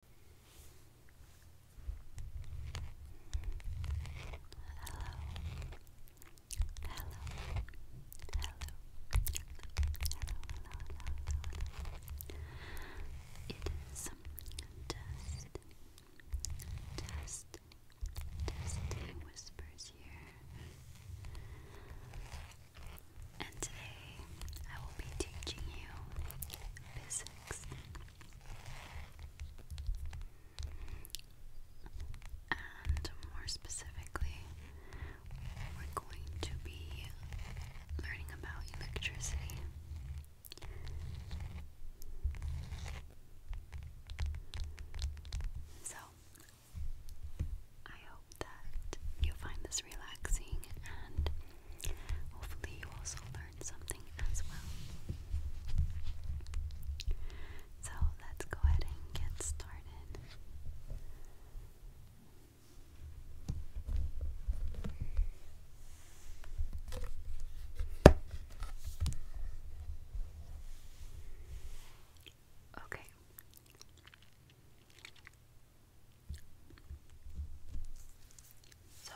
hello, Destiny, Destiny Whispers here. And today I will be teaching you business relax. And more specifically, we're going to be learning about electricity. So, I hope that you find this relaxing and Hopefully, you also learned something as well. So, let's go ahead and get started. Okay. So,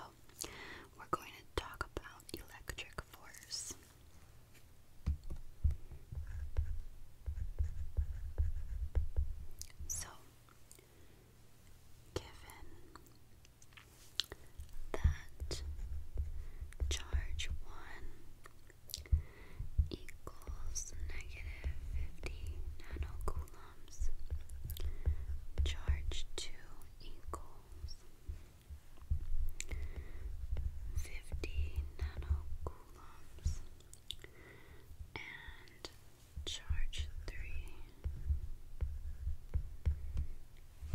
we're going to talk about electric force. So, given that charge 1 equals negative 50 nanocoulomb. Charge 2 equals 50 nanocoulombs and charge 3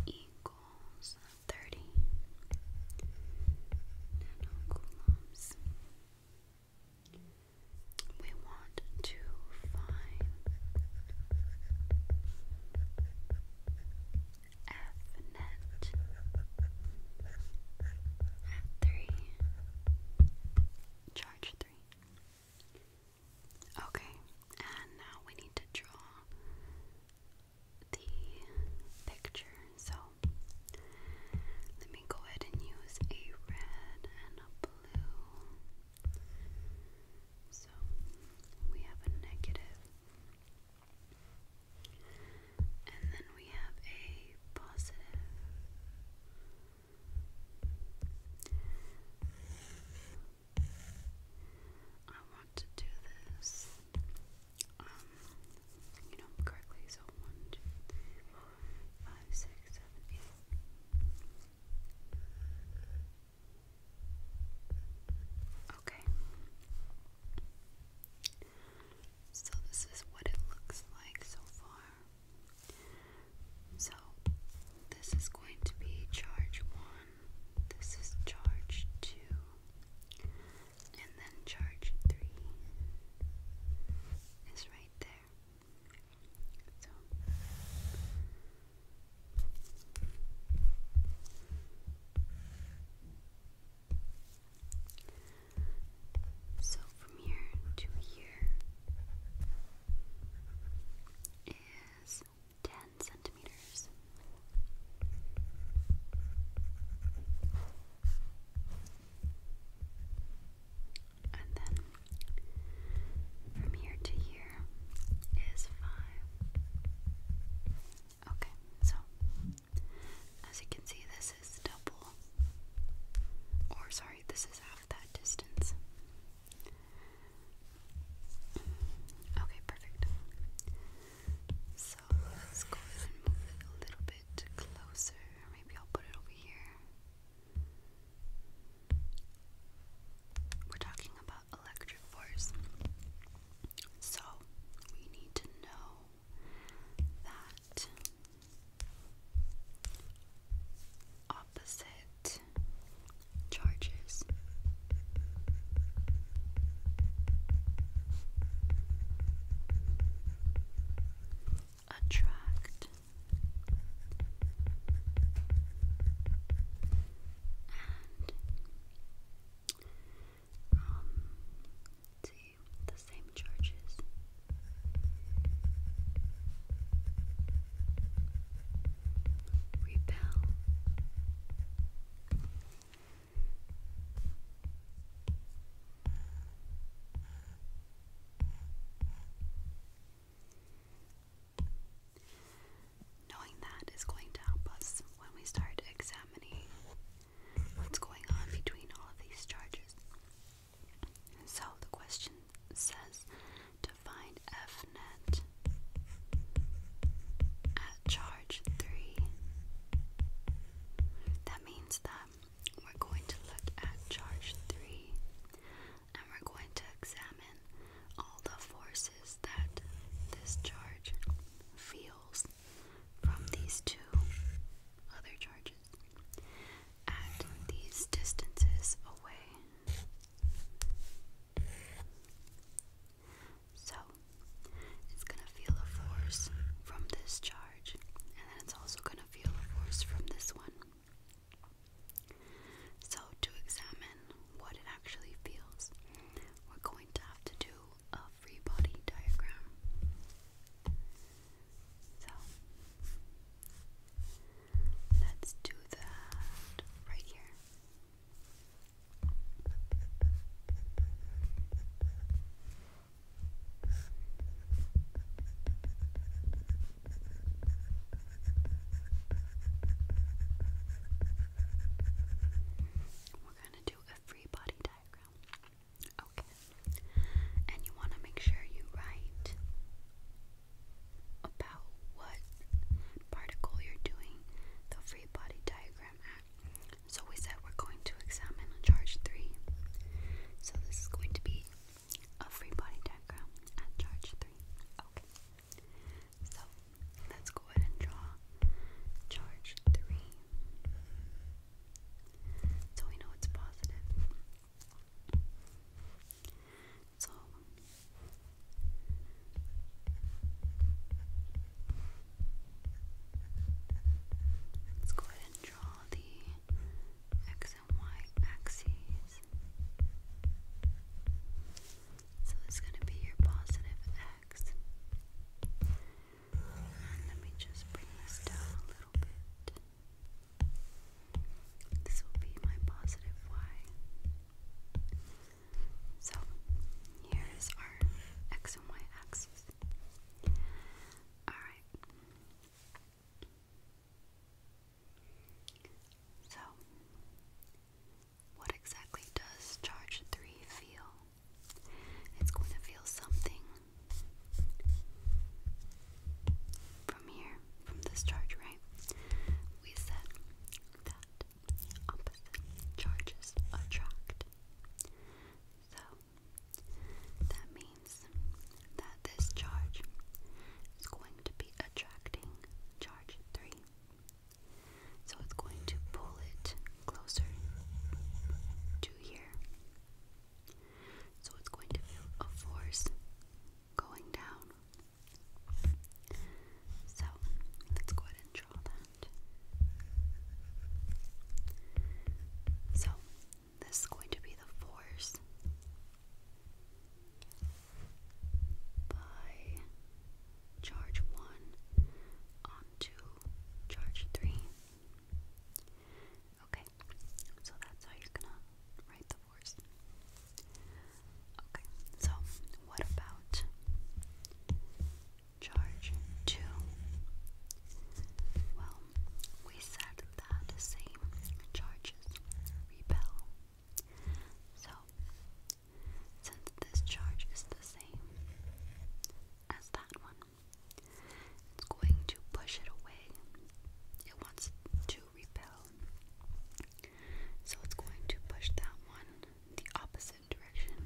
equals 30 nanocoulombs we want to find F net at three charge three. Okay, and now we need to draw the picture. So let me go ahead and use a red and a blue. So we have a negative, and then we have a positive. I want to do this, um, you know, correctly. So one, two, three, four, five, six, seven, eight. Okay. So this is what it looks like so far. So this is going to be charge 1. This is charge 2. And then charge 3 is right there. So from here to here is ten centimeters. And then from here to here is 5. Okay, so as you can see, this is double, or sorry, this is half that distance. Okay, perfect. So let's go ahead and move it a little bit closer. Maybe I'll put it over here. We're talking about electric force. So we need to know that opposite charges attract and um, to the same churches. Repel. Knowing that is going to help us when we start examining what's going on between all of these charges. So the question says to find F net at charge 3. That means that we're going to look at charge 3 and we're going to examine all the forces that this charge feels from these two other charges at these distances away. So, it's going to feel a force from this charge, and then it's also going to feel a force from this one. So, to examine what it actually feels, we're going to have to do a free body diagram. So, let's do that right here. We're gonna do a free body diagram. Okay. And you wanna make sure you write about what particle you're doing the free body diagram at. So we said we're going to examine charge three. So this is going to be a free body diagram at charge three. Okay. So let's go ahead and draw charge three. So we know it's positive. So let's go ahead and draw the x and y axes. So it's going to be your positive x. And let me just bring this down a little bit. This will be my positive y. So here is our x and y axis. Alright. So, what exactly does charge 3 feel? It's going to feel something from here, from this charge, right? We said that opposite charges attract. So, that means that this charge is going to be attracting charge 3. So it's going to pull it closer to here. So it's going to feel a force going down. So let's go ahead and draw that. So this is going to be the force by charge 1 onto charge 3. Okay, so that's how you're gonna write the force. Okay, so what about charge 2? Well, we said that same charges repel. So since this charge is the same as that one. It's going to push it away. It wants to repel. So it's going to push that one the opposite direction.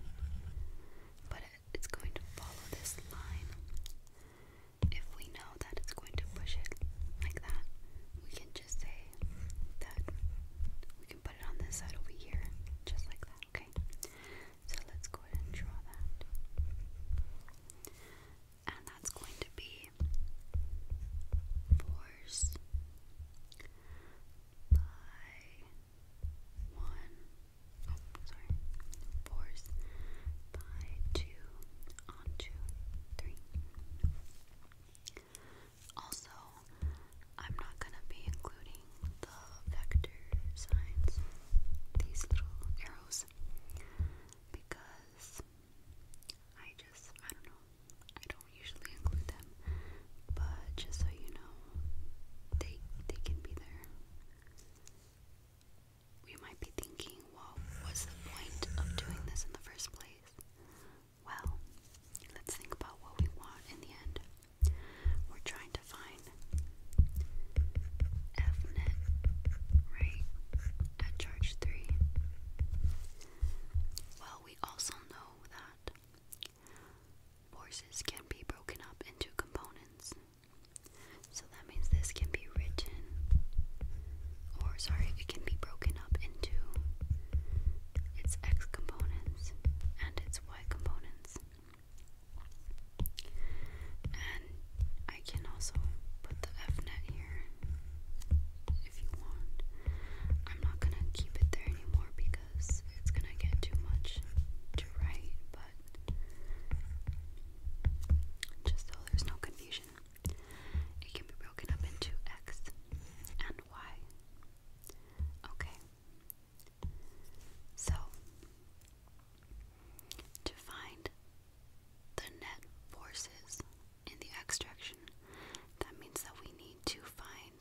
But it's going to follow this line. If we know that it's going to push it like that, we can just say that we can put it on this side over here, just like that, okay? So let's go ahead and draw that. And that's going to be force by one, oh, sorry, force by two onto three. Also, I'm not going to be including the vector signs, these little arrows, because I just, I don't know, I don't usually include them, but just so you know, they, they can be there. We might be thinking, well, what's the point of doing this in the first place? Well, let's think about what we want in the end. We're trying to find Fnet, right, at charge 3. Well, we also know that forces can be broken up into components. So that means this can be written, or sorry, it can be broken up into its x components and its y components. And I can also put the fnet here if you want. I'm not gonna keep it there anymore because it's gonna get too much to write, but just so there's no confusion, it can be broken up into x and why? Okay. So, to find the net forces in the extraction, that means that we need to find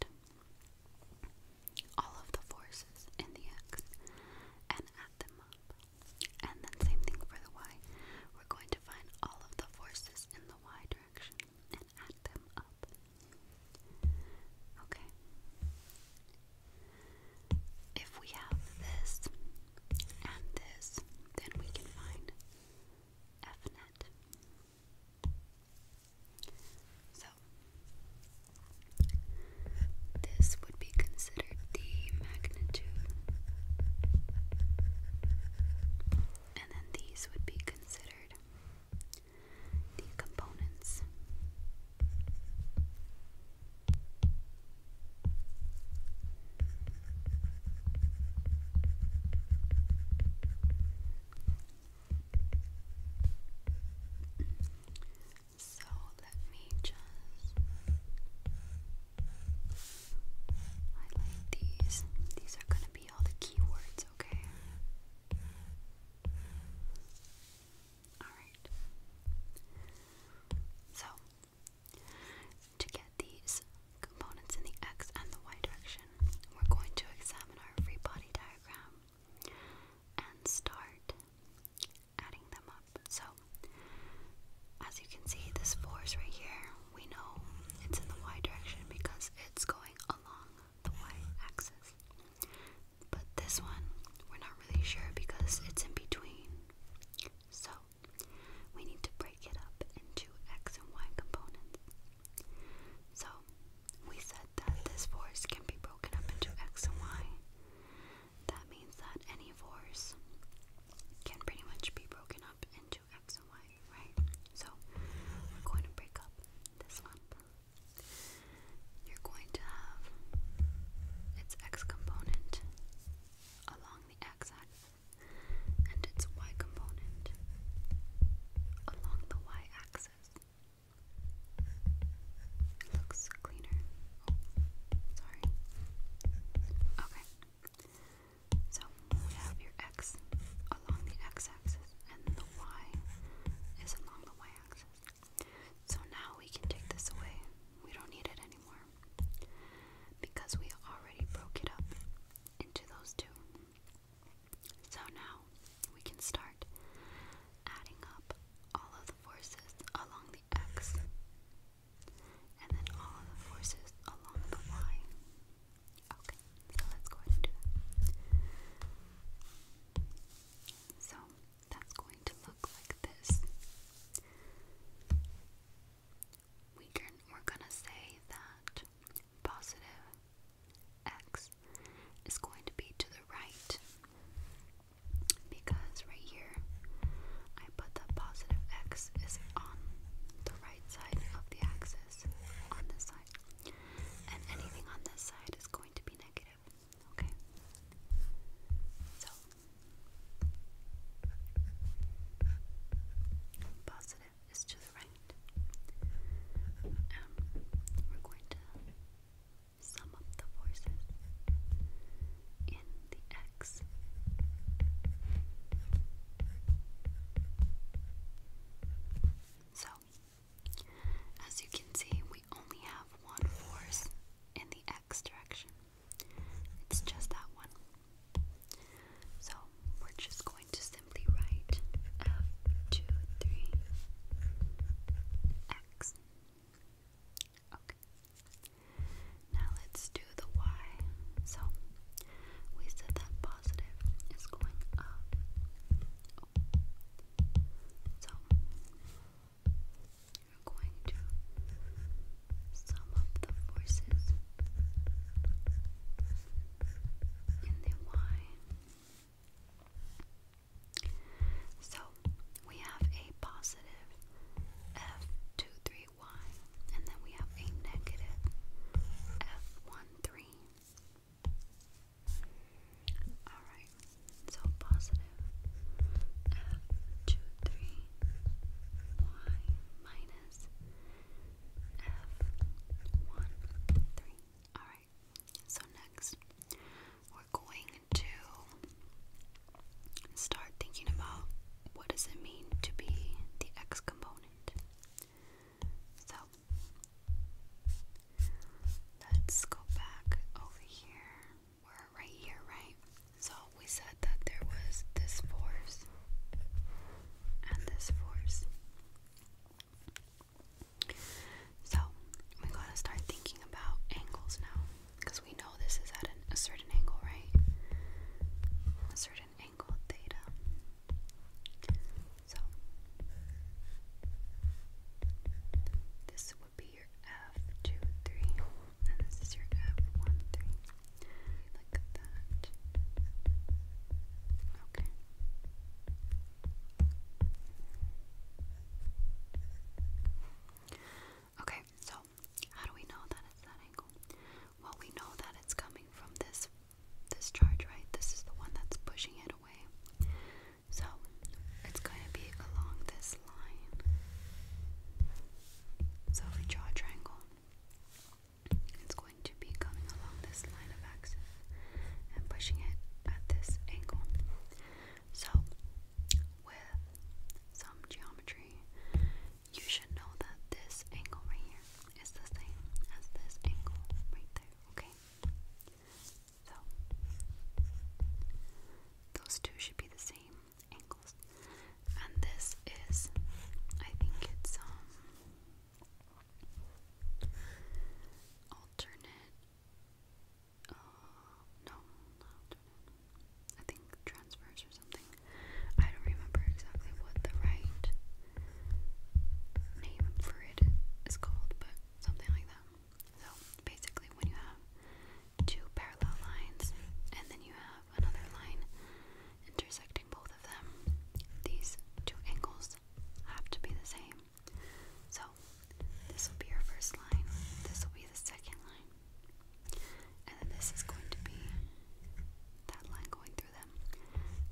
all of the forces in the x and add them up. And then, same thing for the y. We're going to find all of the forces in the y direction and add them up. Okay. If we have this and this, then we can find F net. So, this would be considered the magnitude, and then these would be considered the components. So let me just highlight these. These are going to all the keywords, okay? Alright. So, to get these components in the x and the y direction, we're going to examine our free body diagram and start adding them up. So, as you can see, this force right here, we know it's in the y direction because it's going along the y axis. But this one, we're not really sure because it's in between. So, we need to break it up into x and y components. So, we said that this force can be broken up into x and y. That means that any force can pretty much be broken up into X and Y, right? So we're going to break up this one. You're going to have its X component along the X axis and its Y component along the Y axis. Looks cleaner. Oh, sorry. Okay. So we have your x along the x-axis and the y is along the y-axis. So now we can take this away. We don't need it anymore because we already broke it up into those two. So now we can start adding up all of the forces along the x and then all of the forces along the y. Okay, so let's go ahead and do that. So that's going to look like this. We are gonna say that positive x is going to be to the right because right here I put that positive x is on the right side of the axis on this side. And anything on this side is going to be negative. Okay? So, positive is to the right. And um, we're going to sum up the forces in the x. So, as you can see, we only have one force in the x direction. It's just that one. So, we're just going to simply write F23x. Okay. Now let's do the y. So, we said that positive is going up. So, you're going to sum up the forces in the Y. So, we have a positive F23Y, and then we have a negative F13. Alright, so positive F two three Y minus F one three. Alright, so next we're going to start thinking about what does it mean to be the X component. So let's go back over here. We're right here, right? So we said that there was this force and this force. So we gotta start thinking about angles now because we know this is at a certain angle, right? A certain angle theta. So this would be your F two three, and this is your F one three. Look at that. Okay, so how do we know that it's that angle? Well, we know that it's coming from this this charge, right? This is the one that's pushing it away. So it's going to be along this line. So for jaw triangle, it's going to be coming along this line of axis and pushing it at this angle. So with some geometry, you should know that this angle right here is the same as this angle right there, okay? So those two should be the same angles. And this is I think it's um alternate uh no alternate. I think transverse or something. I don't remember exactly what the right name for it is called, but something like that. So basically, when you have two parallel lines and then you have another line intersecting both of them, these two angles have to be the same. So this will be your first line, this will be the second line, and then this is going to be that line going through.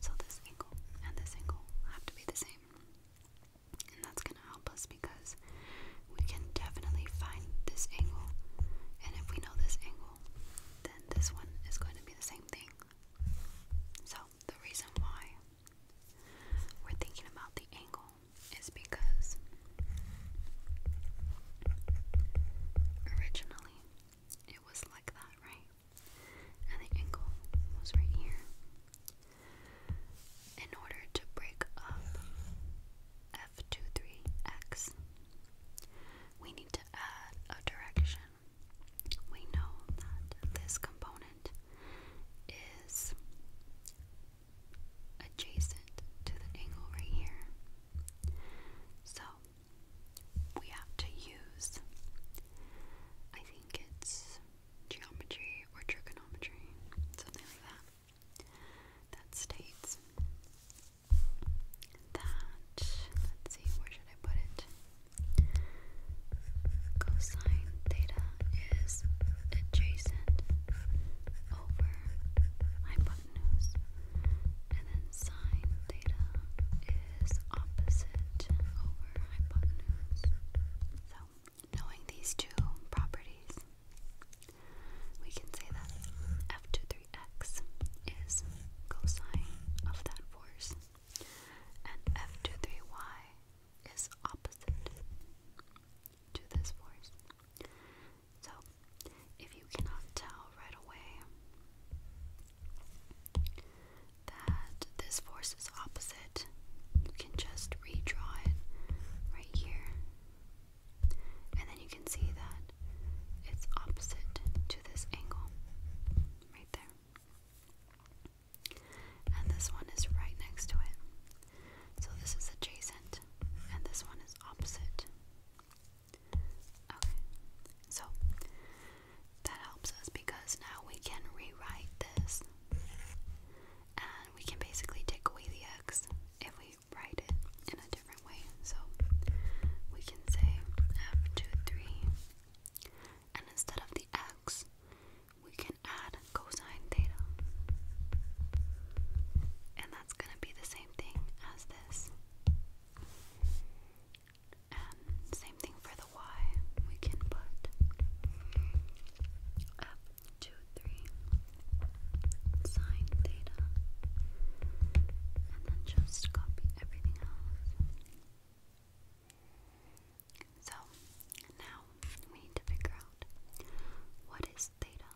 So this angle and this angle have to be the same. And that's going to help us because we can definitely find this angle. And if we know this angle, then this one is going to be the same thing. So the reason why we're thinking about the angle is because originally it was like that, right? and the ankle was right here. In order to break up F23X, we need to add a direction. We know that this component is adjacent to the angle right here. So we have to use I think it's geometry or trigonometry, something like that, that states that, let's see, where should I put it? Cosine theta is adjacent over hypotenuse, and then sine theta is opposite over so, knowing these two properties, we can say that f23x is cosine of that force, and f23y is opposite to this force. So, if you cannot tell right away that this force is opposite, you can just redraw it right here. And then you can see that it's opposite to this angle right there. And this one is right next to it. So this is adjacent, and this one is opposite. Okay, so that helps us because now we can rewrite this. And we can basically take away the x if we write it in a different way. So we can say f two three, And instead of the x, we can add cosine theta. And that's going to be the same thing as this. And same thing for the Y. We can put up sine theta, and then just copy everything else. So now we need to figure out what is theta.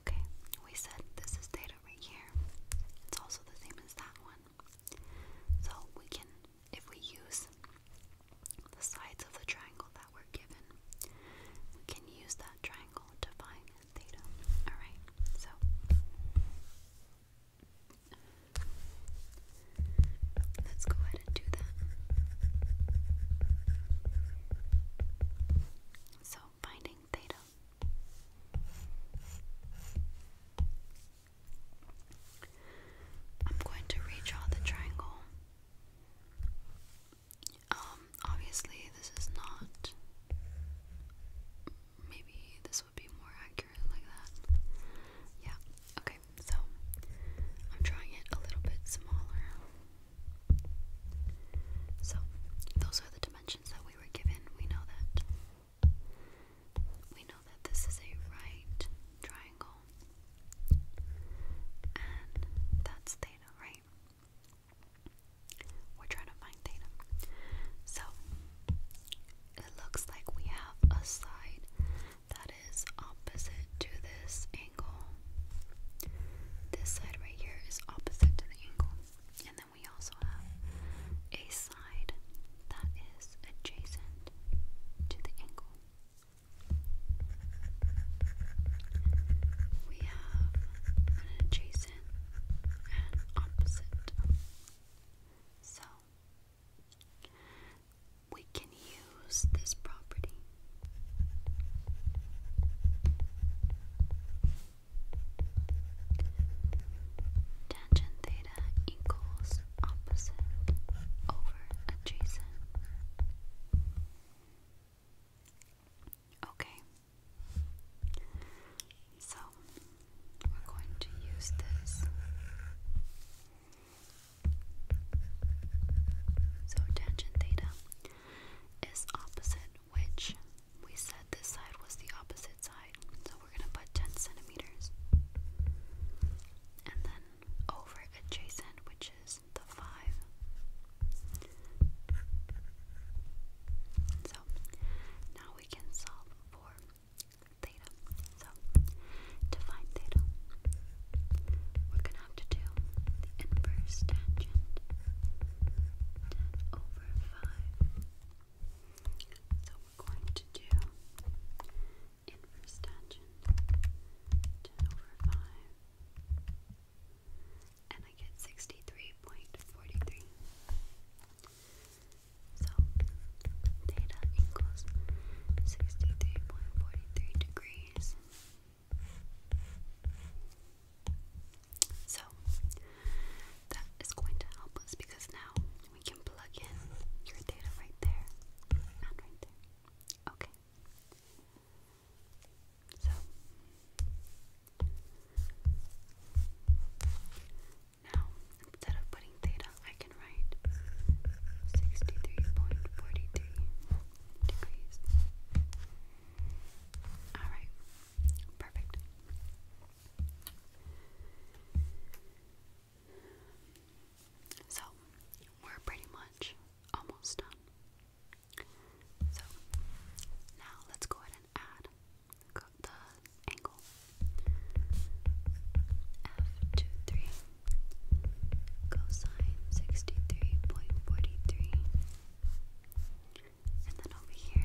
Okay, we said this is theta right here. It's also the same as that one. So we can, if we use the sides of the triangle that we're given, we can use that triangle to find theta. Alright, so. Let's go ahead and do that. So, finding theta I'm going to redraw the triangle. Um, obviously, this is not. Maybe this would be more accurate like that. Yeah, okay, so I'm drawing it a little bit smaller. So, those are the dimensions that we were given. We know that we know that this is a right triangle, and that's theta, right? We're trying to find theta. So, it looks like we have a side that is opposite to this angle. This side right here is opposite to the angle, and we also have a side that is adjacent to the angle. We have an adjacent and opposite. So, we can use this property. Tangent theta theta opposite over adjacent. Okay, so we're going to use this. So tangent theta is opposite, which we said this side was the opposite side we're going to put 10 centimeters. And then over adjacent, which is the 5. So now we can solve for theta. So to find theta, we're going to have to do the inverse tangent 10 over 5 we're going to do inverse tangent 10 over 5, and I get 63.43. So, theta equals 63.43 degrees. So, that is going to help us because now we can plug in your data right there and right there. Okay. So now instead of putting theta, I can write sixty-three point forty-three degrees. All right, perfect. So, we're pretty much almost done. So, now let's go ahead and add the angle. F23 cosine 63.43. And then over here,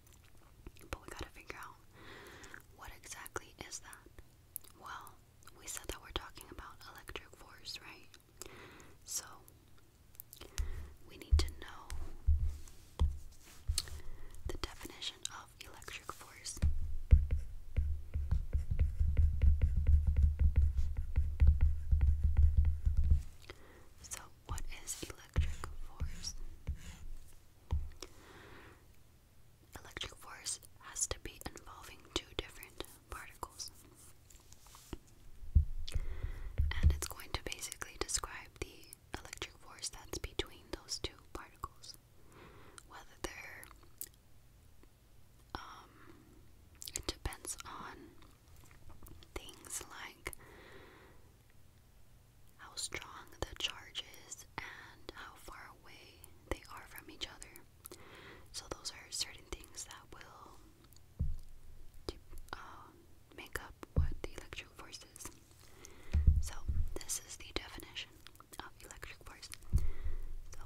But we gotta figure out what exactly is that? Well, we said that we're talking about electric force, right? So we need to know the definition of electric force. So, what is electric force? Electric force has to be involving two different particles. And it's going to basically describe the electric force that's between those two particles. Whether they're, um, it depends on things like how strong the charge is and how far away they are from each other. So those are certain things that will uh, make up what the electric force is. So this is the definition of electric force. So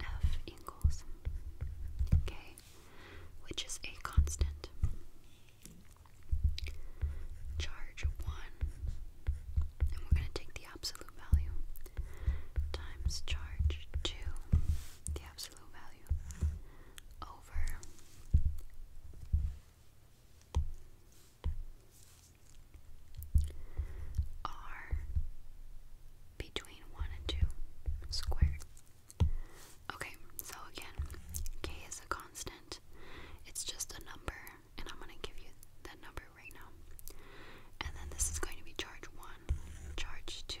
F equals K, which is a constant. Charge 1, and we're going to take the absolute value, times charge 2, the absolute value, over r between 1 and 2 squared. Okay, so again, k is a constant. It's just a number, and I'm going to give you that number right now. And then this is going to be charge 1, charge 2,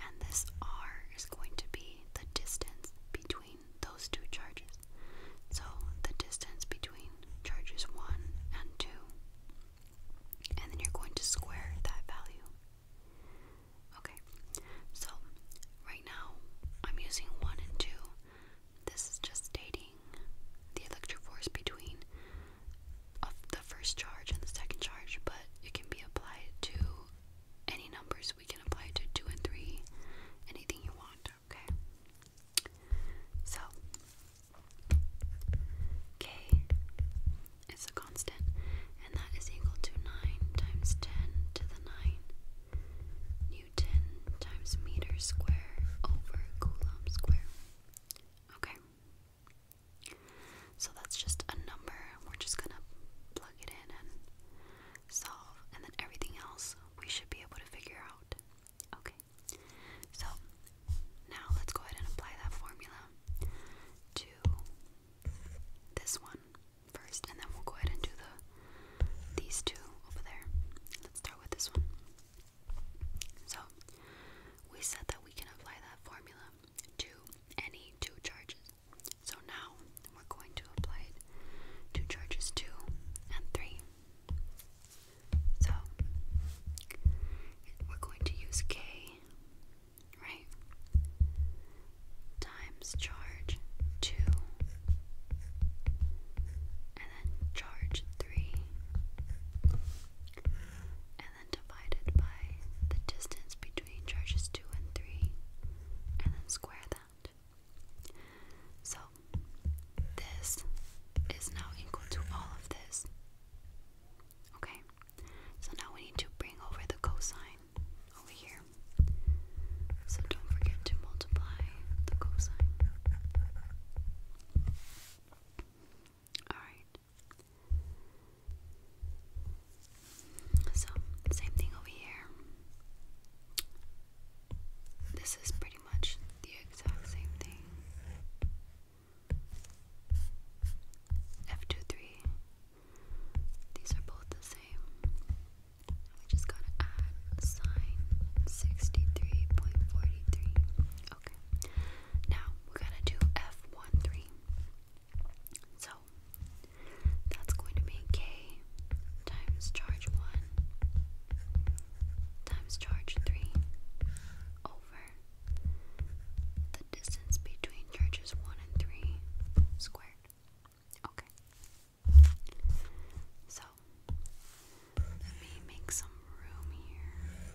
and this R is going to be the distance between those two charges. So the distance between charges 1 and 2, and then you're going to square that value. Okay, so right now I'm using one and two. This is just stating the electric force between of the first charge and the second charge, but it can be applied to any numbers. We can apply it to two and three, anything you want. Okay, so K is a constant, and that is equal to nine times ten to the nine Newton times meter square over Coulomb square. Okay. So that's just a number. We're just gonna plug it in and solve, and then everything else we should be able to figure out. Okay. So now let's go ahead and apply that formula to this one first, and then we'll go ahead and do the these two over there. Let's start with this one. So we said that we can apply that formula to any two charges. So now we're going to apply it to charges two and three. So we're going to use K, right? times charge 2 and then charge 3 and then divided by the distance between charges 2 and 3 and then square that. So this is now equal to all of this. Okay, so now we need to bring over the cosine over here. So don't forget to multiply the cosine. Alright. So, same thing over here. This is pretty much the exact same thing. F23. These are both the same. We just gotta add sine 63.43. Okay. Now we're gonna do F13. So that's going to be K times charge 1 times charge 3 over the distance between charges 1 and 3 squared. Okay. So, let me make some room here.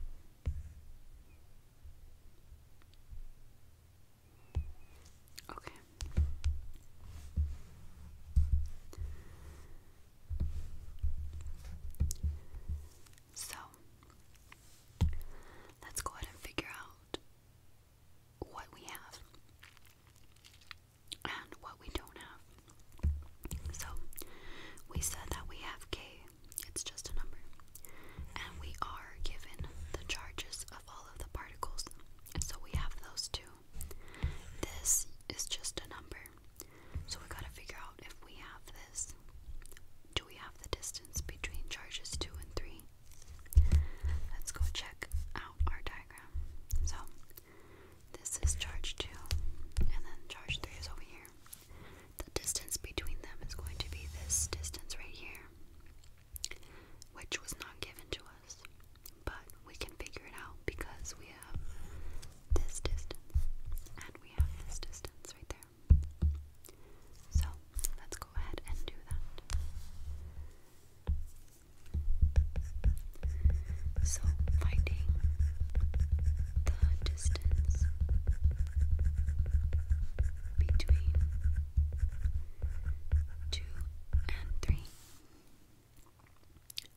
Okay. So, let's go ahead and figure out what we have and what we don't have. So we said that we have K, it's just a number, and we are given the charges of all of the particles. So we have those two. This is just a number. So we gotta figure out if we have this. Do we have the distance between charges 2 and 3? Let's go check out our diagram. So this is charge 2, and then charge 3 is over here. The distance between them is going to be this distance right here, which was not given to us, but we can figure it out because we have this distance, and we have this distance right there. So let's go ahead and do that. So, finding the distance between two and three.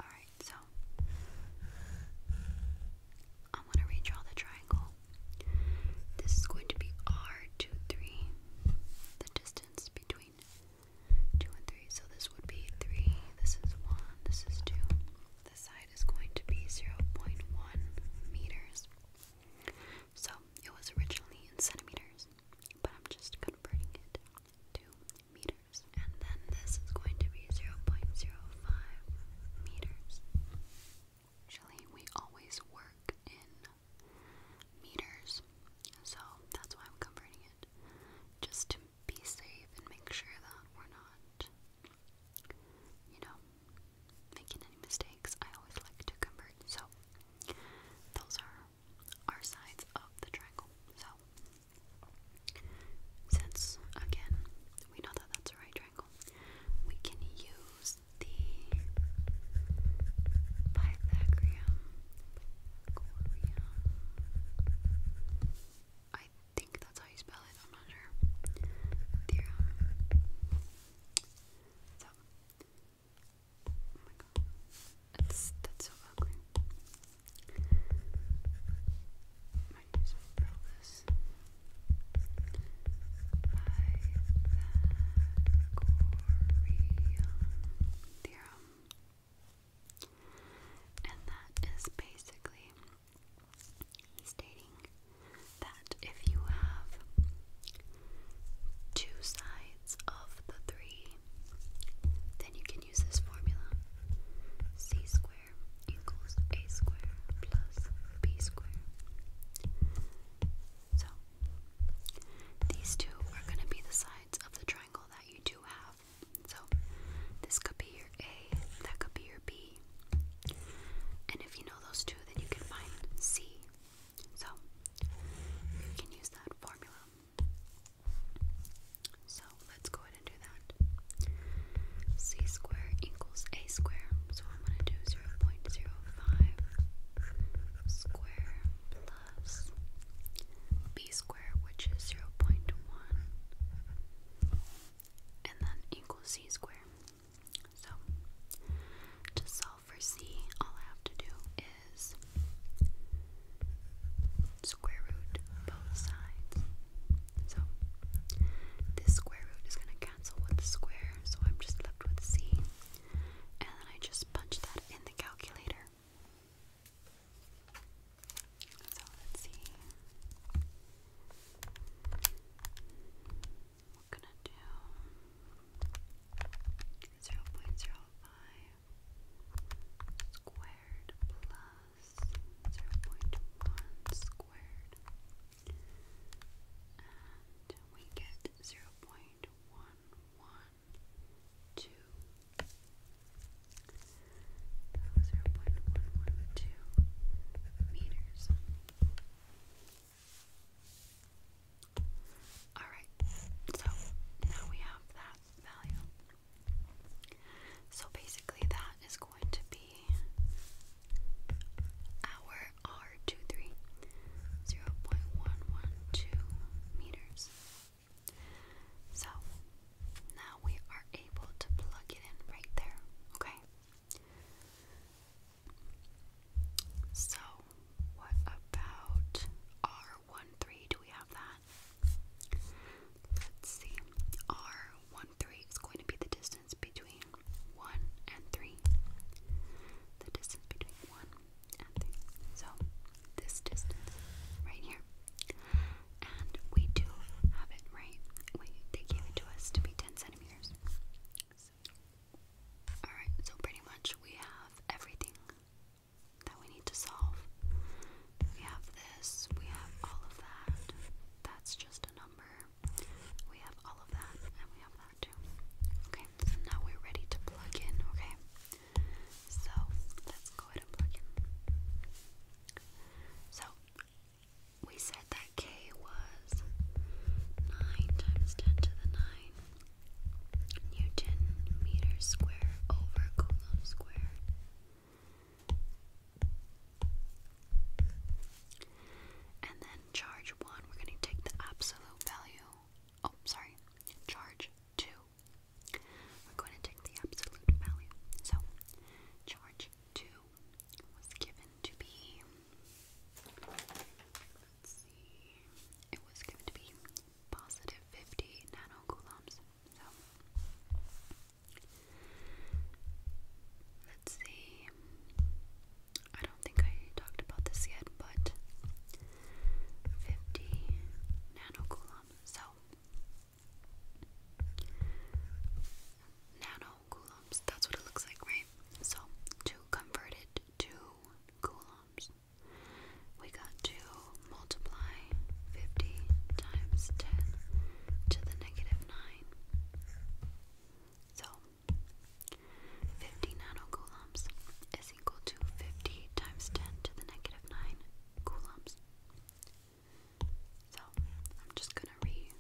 Alright, so I'm going to redraw the triangle. This is going to be R23, the distance between 2 and 3. So this would be 3, this is 1, this is 2. This side is going to be 0.1 meters. So it was originally in centimeters, but I'm just converting it to meters. And then this is going to be 0.05 meters. Actually, we always work in meters, so that's why I'm converting it just to be safe and make sure that we're not, you know, making any mistakes. I always like to convert. So, those are our sides of the triangle. So, since again, we know that that's a right triangle, we can use the Pythagorean I think that's how you spell it, I'm not sure. Theorem. oh my god. That's that's so ugly. Might just spell theorem. And that is basically stating that if you have two sides of the three, then you can use this formula c squared equals a squared plus b squared. So, these two are going to be the sides of the triangle that you do have. So this could be your A, that could be your B. And if you know those two, then you can find C. So you can use that formula. So let's go ahead and do that. C squared equals A squared. So I'm going to do 0 0.05 square plus B squared which is 0.1, and then equals c squared. So, to solve for c, all I have to do is square root both sides. So, this square root is going to cancel with the square, so I'm just left with c. And then I just punch that in the calculator. So let's see. We're gonna do 0 0.05 squared plus 0 0.1 squared and we get 0 0.11 two. meters. Alright, so now we have that value. So basically, that is going to be our R23, meters. So now we are able to plug it in right there, okay? So what about r one three? Do we have that? Let's see. R13 is going to be the distance between 1 and 3. The distance between 1 so this distance right here. And we do have it, right? they gave it to us to be 10 centimeters. Alright, so pretty much we have everything that we need to solve. We have this, we have all of that. That's just a number. We have all of that, and we have that too. Okay, so now we're ready to plug in, okay? So let's go ahead and plug in. So we said that k was 9 times 10 to the 9 Newton meters square over Coulomb square. And then charge 1, we're going to take the absolute value. Oh, sorry. Charge 2, we're going to take the absolute value. So, charge 2 was given to be, let's see, it was given to be positive 50 nanocoulombs. So, let's see, I don't think I talked about this yet, but 50 nanocoulombs so nanocoulombs, that's what it looks like, right? So to convert it to coulombs, we got to multiply 50 times 10 to the negative 9. So 50 nanocoulombs is equal to 50 times 10 to the negative 9 coulombs. So I'm just gonna re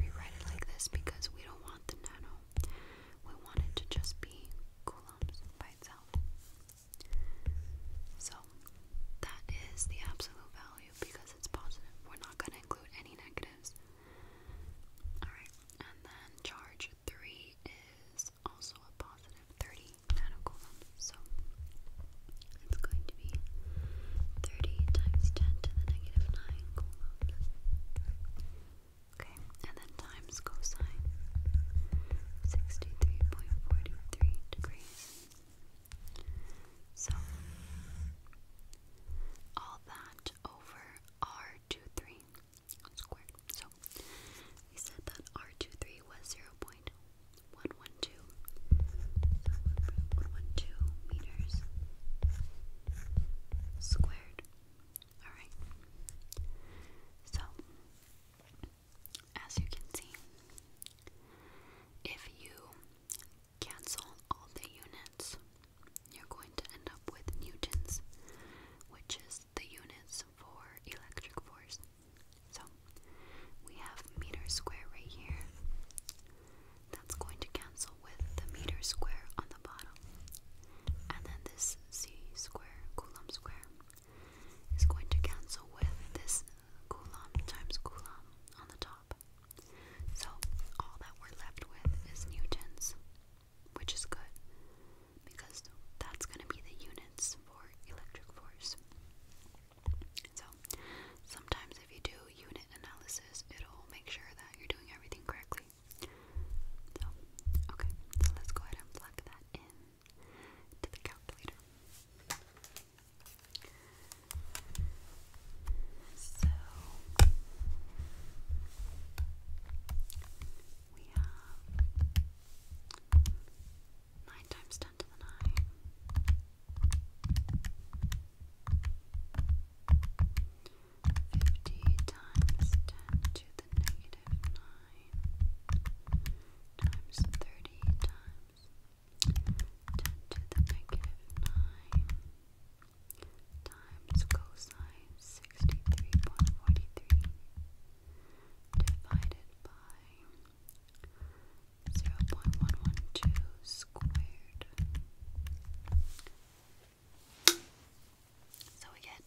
rewrite it like this because we don't want the nano. We want it to just be coulombs by itself. So that is the absolute value because it's positive. We're not gonna include any negatives. Alright, and then charge three is also a positive 30 nanocoulomb. So it's going to be 30 times 10 to the negative 9 coulomb. Okay, and then times cosine 63.43 degrees. So all that over r23 squared. So he said that r two three was 0.112, meters squared. Alright. So, as you can see, if you cancel all the units, you're going to end up with newtons, which is the units for electric force. So we have meter square right here. That's going to cancel with the meter square on the bottom. And then this C square, Coulomb square, is going to cancel with this Coulomb times Coulomb on the top. So all that we're left with is Newtons, which is good because that's going to be the units for electric force. So, sometimes if you do unit analysis, it'll make sure that you're doing everything correctly. So, okay, so let's go ahead and plug that in to the calculator. So, we have 9 times 10 to the 9. Fifty times ten to the negative nine times thirty times ten to the negative nine times cosine sixty three point forty three divided by zero point one one two squared. So we get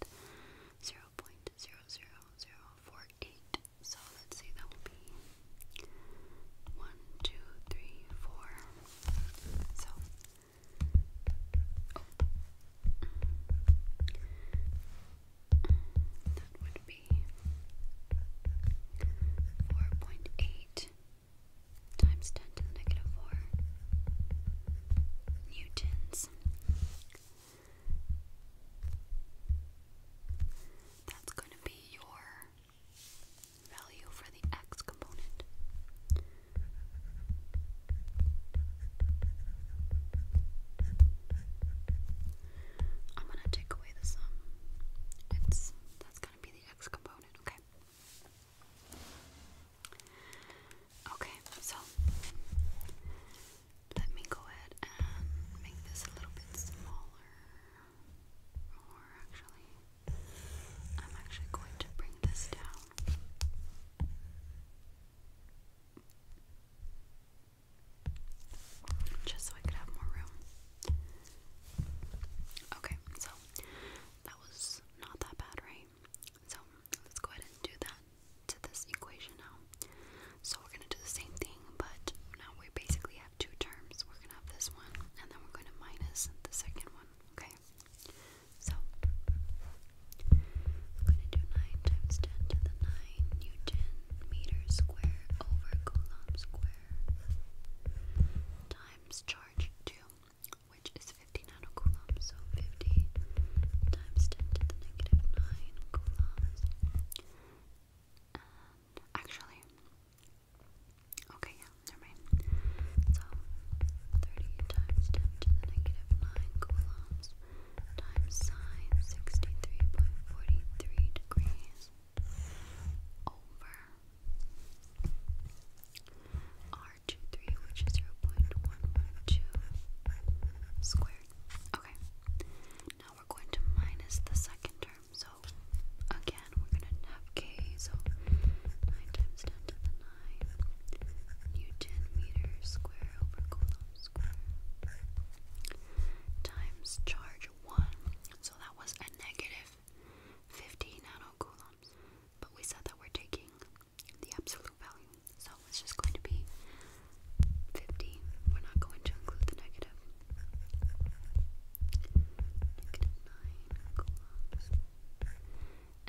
zero point zero zero zero four eight. So let's see, that will be one, two, three, four. So oh that would be 4.8 times 10 to the negative 4 newtons. That's going to be your value for the x component. I'm gonna take away the sum. It's that's gonna be the x component, okay? Okay, so let me go ahead and make this a little bit smaller. Or actually, I'm actually going to bring this down just so I could have more room. Okay, so that was not that bad, right? So let's go ahead and do that to this equation now. So we're going to do the same thing, but now we basically have two terms. We're going to have this one, and then we're going to minus the second one, okay? So I'm going to do 9 times 10 to the 9 Newton meter square over coulomb square times charge 2, which is 50 nanocoulombs, so 50 times 10 to the negative 9 coulombs. actually, okay, yeah, never mind. So, 30 times 10 to the negative 9 coulombs times sine 63.43 degrees over R23, which is 0.112 squared. Okay, now we're going to minus the second term. So again, we're going to have k, so 9 times 10 to the 9 newton meters square over coulomb square times charge 1. So that was a negative 50 nanocoulombs. But we said that we're taking the absolute value. So it's just going to be 50. We're not going to include the negative. Negative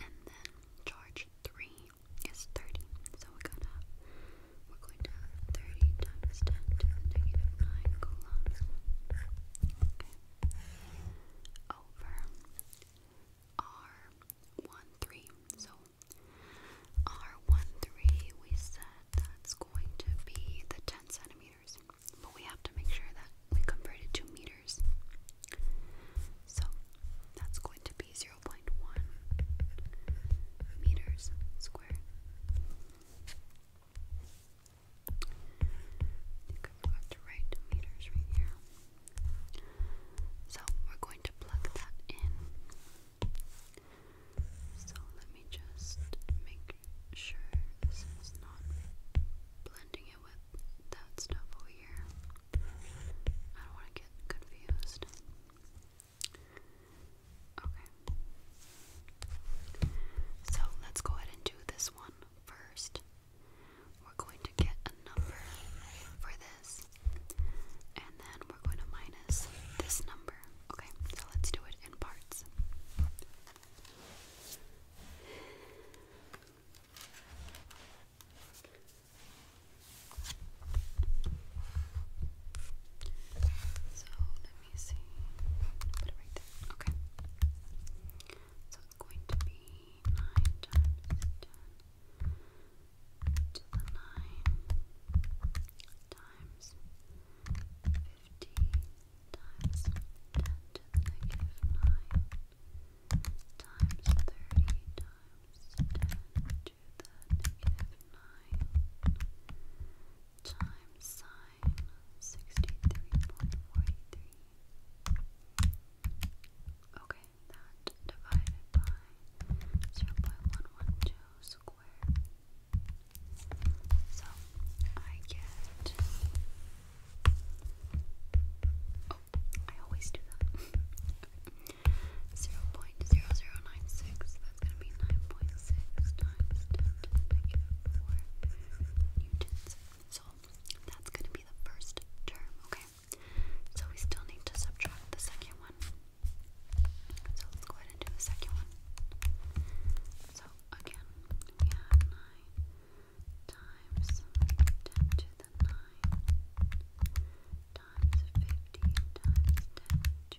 And then charge 3 is 30. So we got we're going to 30 times 10 to the negative 9 coulombs. Over R13. So R13 we said that's going to be the 10 centimeters. But we have to make sure that we convert it to meters. So that's going to be 0.1 meters square. I think I forgot to write meters right here. So we're going to plug that in. So let me just make sure this is not blending it with that stuff over here. I don't want to get confused. Okay. So let's go ahead and do this one first. We're going to get a number for this, and then we're going to minus this number. Okay, so let's do it in parts. So me see. Put it right there. Okay. So it's going to be 9 times 10 to the 9 times 50 times 10 to the negative 9 times 30 times 10 do the negative 9 times sine 63.43. Okay, that divided by 0.112 squared. So I get. Oh, I always do that. 0.0096, it's going to be 9.6 times 10 to the negative 4 newtons. So that's going to be the first term, okay? So we still need to subtract the second one. So let's go ahead and do the second one. So again, we have 9 times 10 to the 9 times 50 times 10 to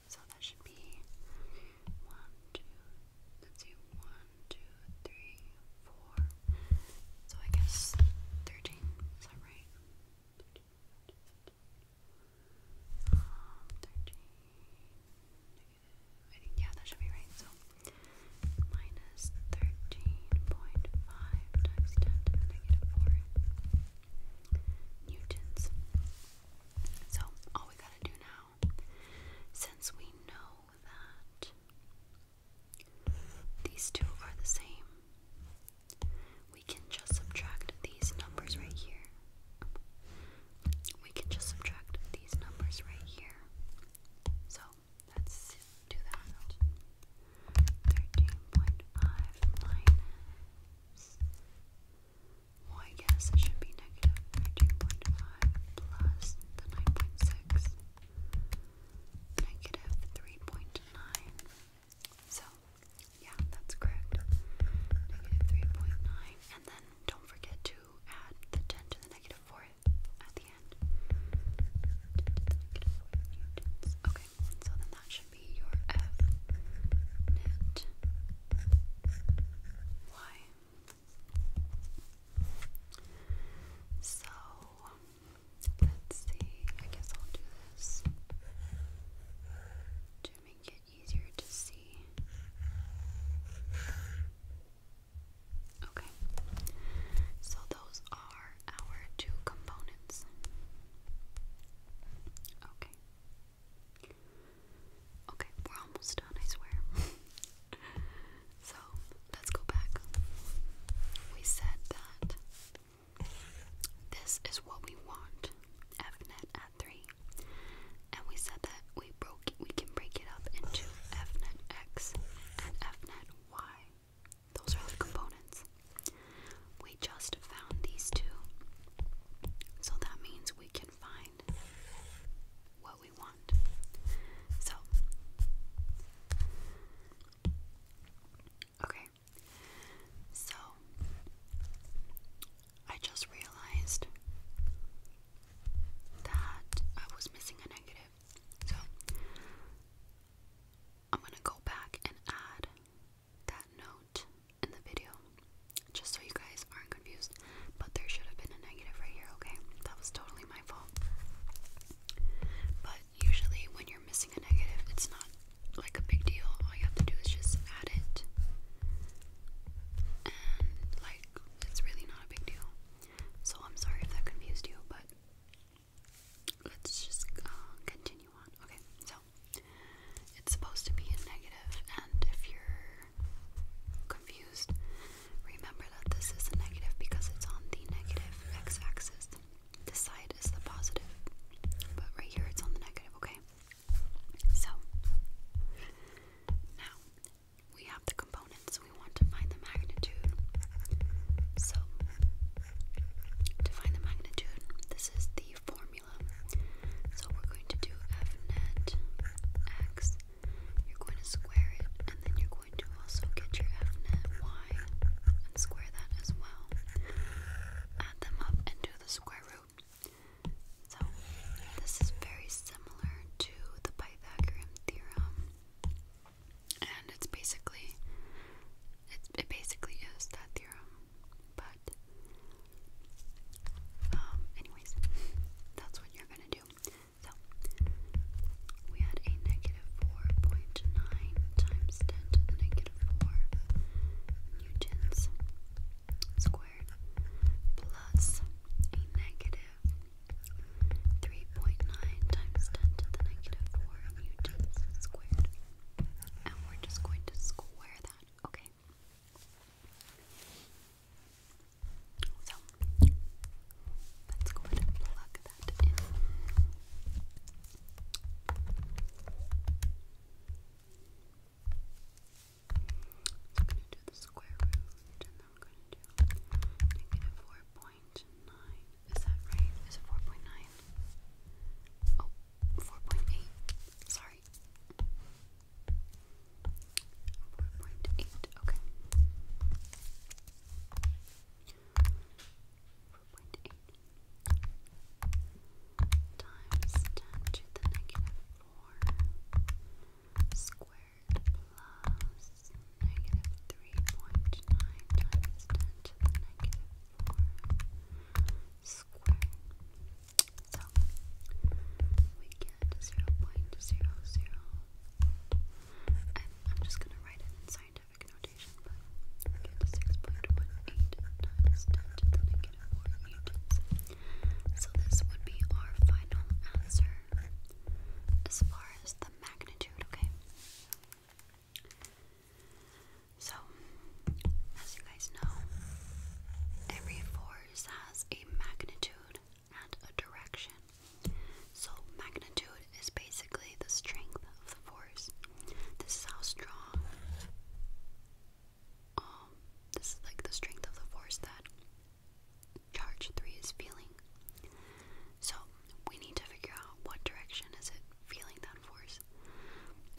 So that should be one, two, let's see, one, two, three, four. So I guess 13, is that right? Um, 13, I think, yeah, that should be right. So minus 13.5 times 10 4 newtons. So, all we gotta do now, since we know that these two are the same, we can just subtract these numbers right here. We can just subtract these numbers right here. So let's well, I guess it should be negative 13.5 plus the 9.6, negative 3.9. So, yeah, that's correct. Negative 3.9. And then don't forget to add 10 to the negative 4 at the end. Okay, so then that should be your F net Y. So let's see, I guess I'll do this to make it easier to see. Okay, so those are our two components. Okay, Okay, we're almost done, I swear. so, let's go back. We said that this is what we want, FNet at 3. And we said that we broke we can break it up into FNet X and FNet Y. Those are the components we just found these two. So that means we can find what we want. So, okay. So, I just realized that I was missing a negative. So, I'm going to go back and add that note in the video, just so you guys aren't confused. But there should have been a negative right here, okay? That was totally my fault. But usually, when you're missing a negative, it's not like a big deal. All you have to do is just add it. And, like, it's really not a big deal. So, I'm sorry if that confused you, but let's just uh, continue on. Okay, so it's supposed to be a negative, and if you're confused, remember that this is a negative because it's on the negative x axis. This side is the positive, but right here it's on the negative, okay? So, now we have the components, we want to find the magnitude. So, to find the magnitude, this is the formula formula. So we're going to do f net x. You're going to square it, and then you're going to also get your f net y and square that as well. Add them up and do the square root. So this is very similar to the Pythagorean theorem, and it's basically it's, it basically is that theorem but, um, anyways, that's what you're gonna do. So, we had a negative 4.9 times 10 to the negative 4 newtons squared plus a negative 3.9 times 10 to the negative 4 newtons squared. And we're just going to square that, okay? So let's go ahead and plug that in. I'm going to do the square root and then I'm going to do negative 4.9. Is that right? Is it 4.9? Oh, Sorry. 4.8, okay. 4.8 times 10 to the negative 4 squared plus negative 3.9 times 10 to the negative 4 squared so we get 0 And I'm just going to write it in scientific notation, but we get 6.18 times 10 to the negative 4 newtons. So this would be our final answer as far as the magnitude, okay? So, as you guys know, every four has a magnitude and a direction. So, magnitude is basically the strength of the force. This is how strong, um, this is like the strength of the force that charge 3 is feeling. So, we need to figure out what direction is it feeling that force.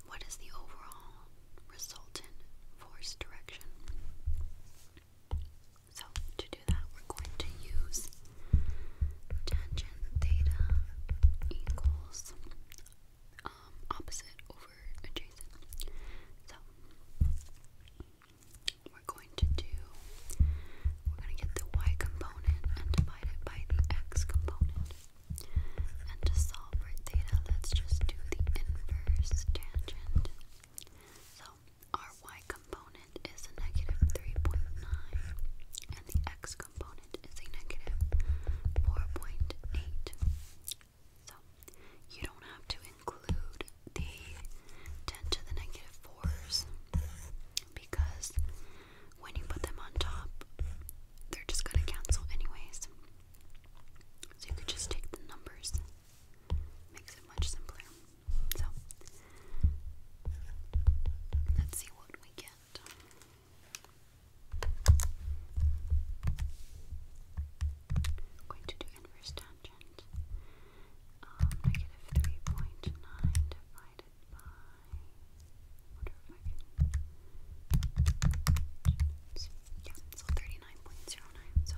What is the overall resultant force direction. So, to do that, we're going to use tangent theta equals um, opposite over adjacent. So, we're going to do, we're going to get the y component and divide it by the x component. And to solve for theta, let's just do the inverse tangent. So, our y component is a negative 3.9, and the x component is a negative 4.8. So, you don't have to include the 10 to the negative 4s because when you put them on top, they're just going to cancel anyways. So you could just take the numbers. Makes it much simpler. So let's see what we get. I'm going to do inverse tangent. Um, 3.9 divided by. wonder if I can. Oops. Yeah, so 39 39.09, so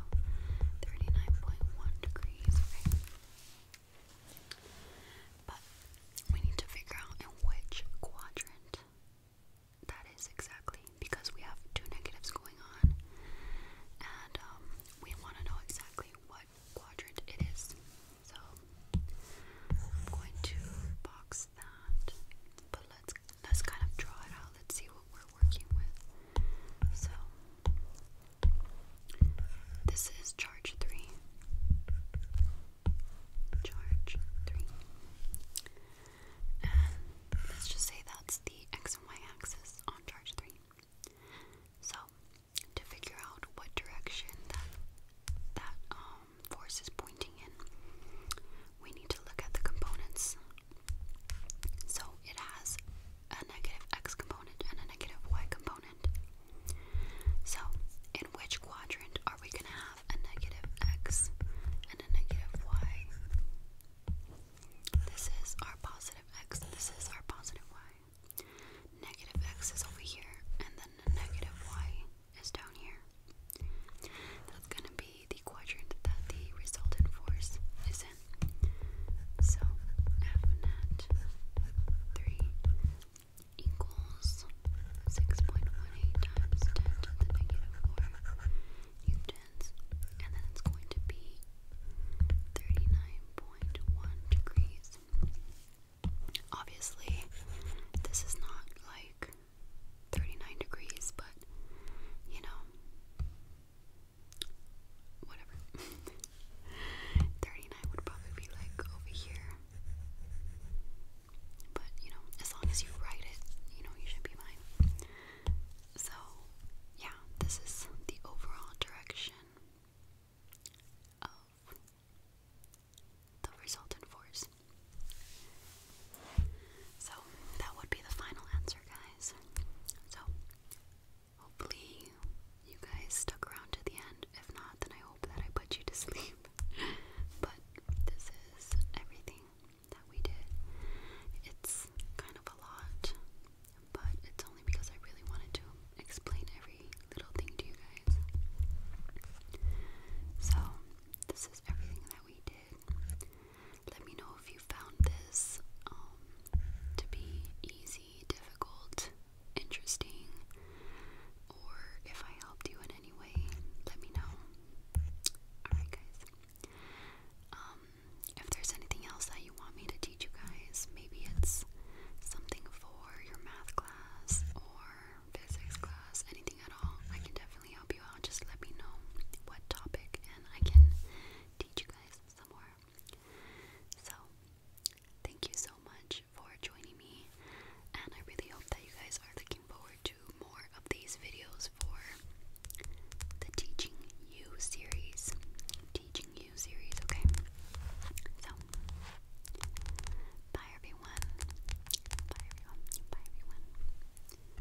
39.1 degrees, okay? But we need to figure out in which quadrant that is exactly because we have two negatives going on and um, we want to know exactly what quadrant it is. So I'm going to box that, but let's let's kind of draw it out. Let's see what we're working with. So this is charge three. Charge three. let's just say that's the x and y axis on charge three. So to figure out what direction that that um force is pointing in, we need to look at the components so it has a negative x component and a negative y component. So in which quadrant are we going to have a negative x and a negative y? This is our positive x, this is our positive y. Negative x is over here, and then negative y is down here. That's going to be the quadrant that the resultant force is in. So F net 3 equals 6.18 times 10 to the negative 4 newtons, and then it's going to be 39.1 degrees. Obviously, this is not like 39 degrees, but you know, whatever. 39 would probably be like over here. But you know, as long as you write it, you know, you should be fine. So, yeah, this is the overall direction of the resultant force. So that would be the final answer, guys. So hopefully you guys stuck around to the end. If not, then I hope that I put you to sleep. but this is everything that we did. It's kind of a lot, but it's only because I really wanted to explain every little thing to you guys. So, this is everything that we did. Let me know if you found this um, to be easy, difficult, interesting, or if I helped you in any way. Let me know. Alright, guys. Um, if there's anything else that you want me to teach you guys, maybe it's something for your math class or physics class, anything at all, I can definitely help you out. Just let me know what topic, and I can teach you guys some more. So, thank you so much for joining me, and I really hope that you guys are looking forward to more of these videos for the Teaching You series. Teaching You series, okay? So, bye everyone. Bye everyone. Bye everyone.